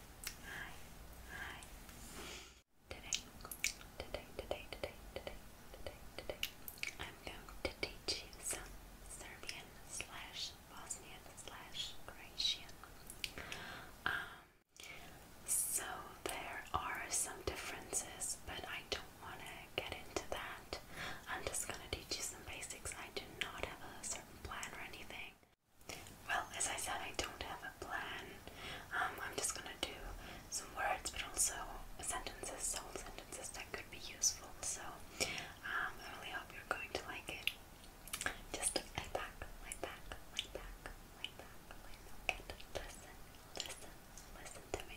Hi. Hi. Today, today, today, today, today, today, today, I'm going to teach you some Serbian slash Bosnian slash Croatian. Um, so there are some differences, but I don't want to get into that. I'm just going to teach you some basics. I do not have a certain plan or anything. Well, as I said, I don't have a plan. Um, I'm just gonna do some words, but also sentences, whole sentences that could be useful. So um, I really hope you're going to like it. Just lay back, lay back, lay back, lay back, lay back, listen, listen, listen to me.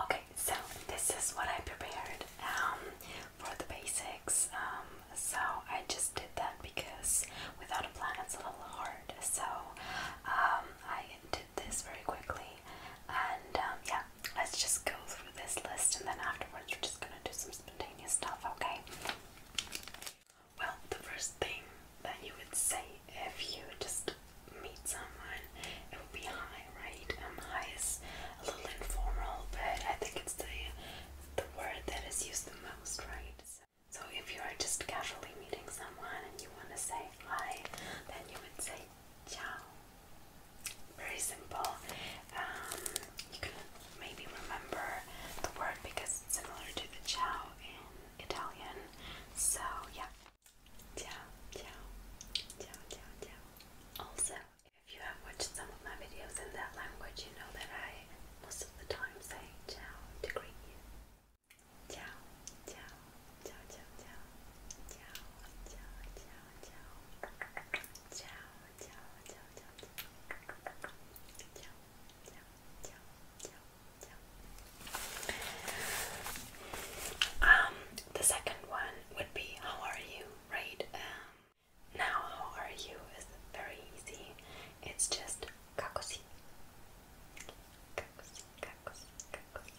Okay, so this is what I prepared um, for the basics. Um, so I just did that because without a plan it's a little hard. So um, I did this very quickly, and yeah, let's just go through this list and then afterwards we're just going to do some spontaneous stuff, okay? Well, the first thing that you would say if you just meet someone, it would be hi, right? Um, hi is a little informal, but I think it's the, the word that is used the most, right? So, so if you are just casually meeting someone and you want to say hi, then you would say Ciao. Very simple. Um, you can maybe remember the word because it's similar to the ciao in Italian. So yeah. Ciao, ciao, ciao, ciao, ciao. Also, if you have watched some of my videos in that language, you know that I most of the time say ciao to greet you. ciao, ciao, ciao, ciao, ciao, ciao, ciao ciao, ciao, ciao, ciao, ciao, ciao, ciao, ciao, ciao. Um, the second one would be how are you, right? Um, now how are you is very easy. It's just kakosi. Kakosi, kakosi, kakosi.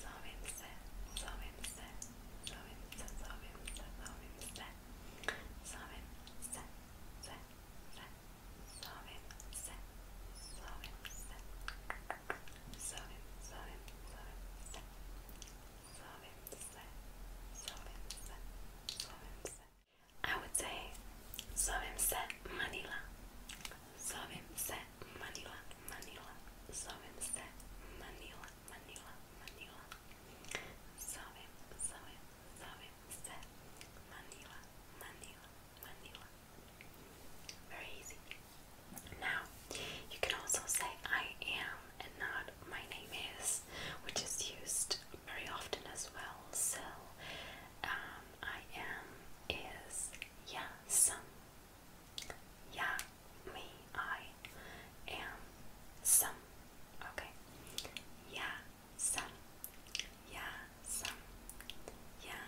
Sovimse, sovimse, sovimse, sovimse, sovimse, sovimse, se, se, sovimse, sovimse, I would say Manila. Manila. Sawim se Manila, Manila, Manila. Sawim, sawim, sawim se Manila, Manila, Manila. Very easy. Now, you can also say I am and not my name is, which is used very often as well. So, um, I am is, yeah, yeah, me, I am some. Okay. Yeah, some. Yeah, some. Yeah,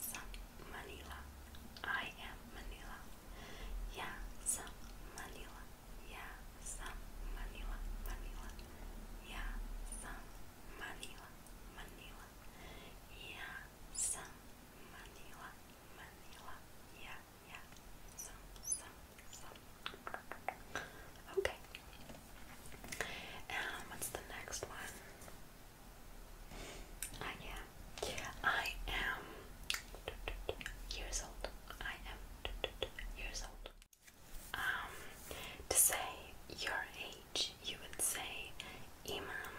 some. Manila. I am Manila. Yeah, some. Manila. Yeah, some. Manila. Manila. Yeah, some. Manila. Manila. Yeah, some Manila, Manila, yeah, yeah, some, some, some. Okay. Um, what's the next one? I ah, am. I am years old. I am years old. Um, to say your age, you would say imam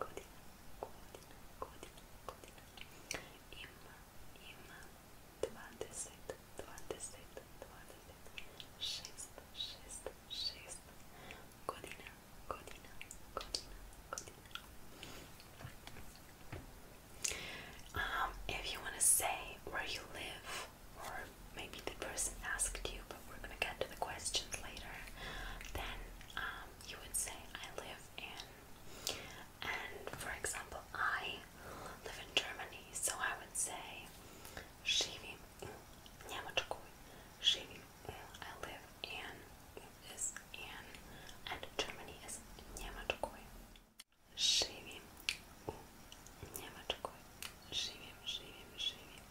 godina, godina, godina, godina. Ima, ima 20, 20, 20, 6, 6, 6 godina, godina, godina, godina. Um, if you want to say where you live, or maybe the person asked you you, but we're gonna get to the questions later. Then um, you would say, I live in, and for example, I live in Germany, so I would say, Живи mm, mm, I live in, is in, and Germany is Немецкой. Живи Немецкой. Живем, живем, живем.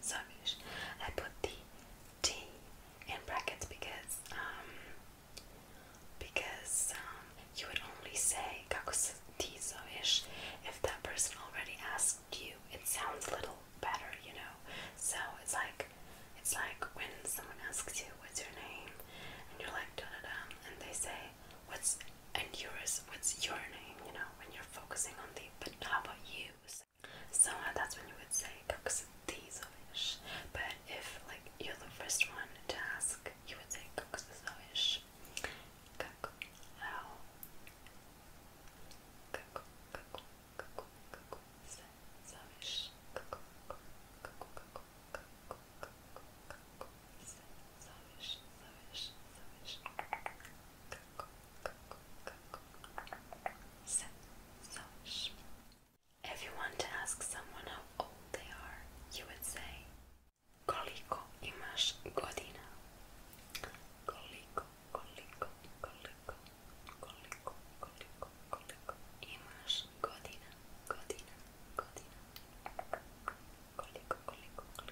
Servish. I put the T in brackets because um because um, you would only say kakusotizoish if that person already asked you. It sounds a little better, you know. So it's like it's like when someone asks you what's your name and you're like da da da and they say what's and yours what's your name, you know when you're focusing on the but how about you? So that's when you would say koksdizovish. But if like you're the first one to ask, you would say koksdizovish. Kako how kako kako kako kako zavish kako kako kako kako kako kako zavish zavish zavish if you want to ask someone how old they are, you would say Koliko imaš godina? Koliko, koliko, koliko, koliko, koliko, koliko imaš godina, godina, godina. koliko, koliko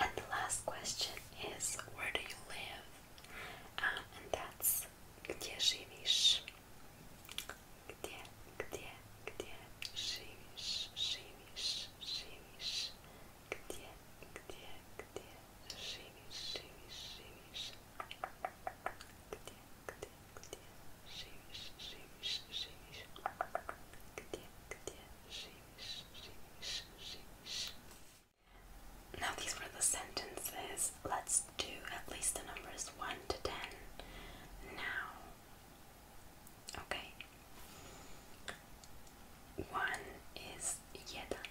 And the last question is, where do you live? Um, and that's, gdzie żywisz? Gdzie, gdzie, gdzie żywisz, żywisz, żywisz? Gdzie, gdzie, gdzie żywisz, żywisz, żywisz? Now these were the sentences. Let's do at least the numbers 1 to 10 now. Okay. 1 is jeden.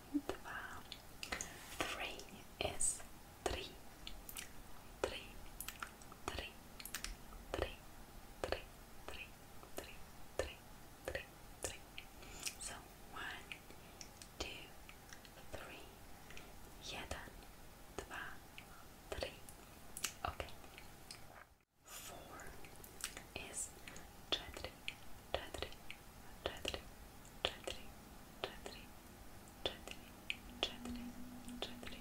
dwa, three is three, three, three, three, three, three, three, three, three, three. So one, two, three, jeden, dwa, three. Okay. Four is cztery today, try today, try today, try today, try today, try today, try today, try today, try today.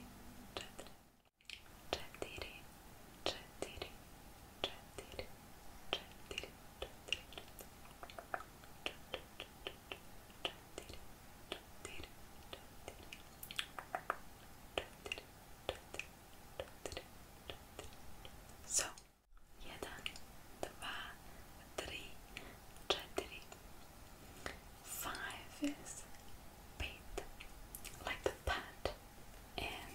Chatiri, So, jeden, Five is beat, like the pat in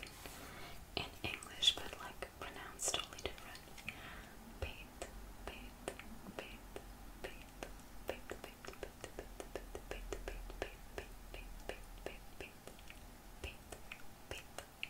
in English, but like pronounced totally different. Beat, beat, beat, beat, beat, beat, beat, beat, beat, beat, beat, beat, beat, beat, beat, beat, beat, beat, beat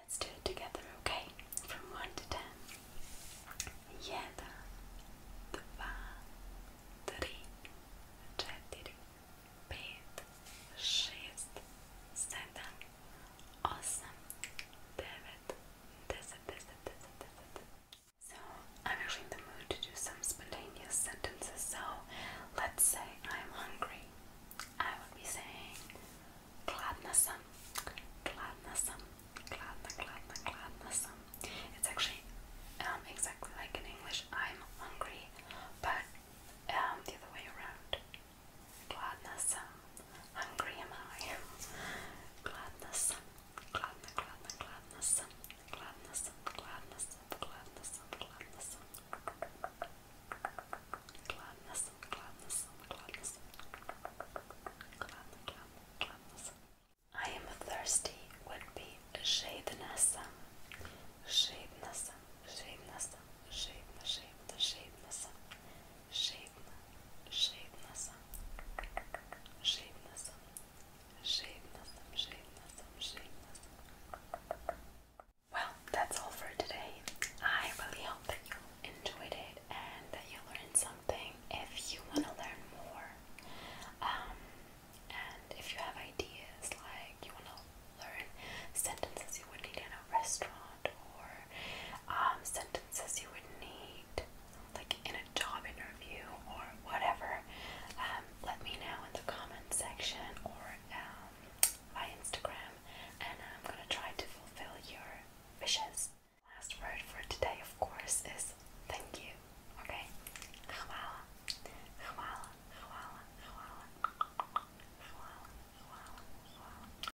Let's do it together, okay? From one to ten. Jeden, this and this and this and this and this. So I'm actually in the mood to do some spontaneous sentences. So let's say I'm hungry. I would be saying gladnasam, gladnasam, gladna, gladna, gladnasam. It's actually um, exactly like in English, I'm hungry, but um, the other way around. Gladness. Hungry am I. Gladness. Gladness. Gladness. Gladness. Gladness. Gladness. Gladness. Gladness. Gladness. Gladness. I am thirsty would be shadiness. Shadiness. Shadiness. Shadiness. Shadiness. Shadiness shaved, shaved nasam, shaved nasam, shaved nasam, shaved nasam, shaved nasam. Well, that's all for today. I really hope that you enjoyed it and that you learned something. If you want to learn more, um, and if you have ideas like you want to learn sentences you would need in a restaurant or um, sentences you would need, like in a job interview or whatever, um, let me know in the comment section or um, my Instagram, and I'm gonna try to fulfill your wishes. Last word for today, of course, is thank you. Okay?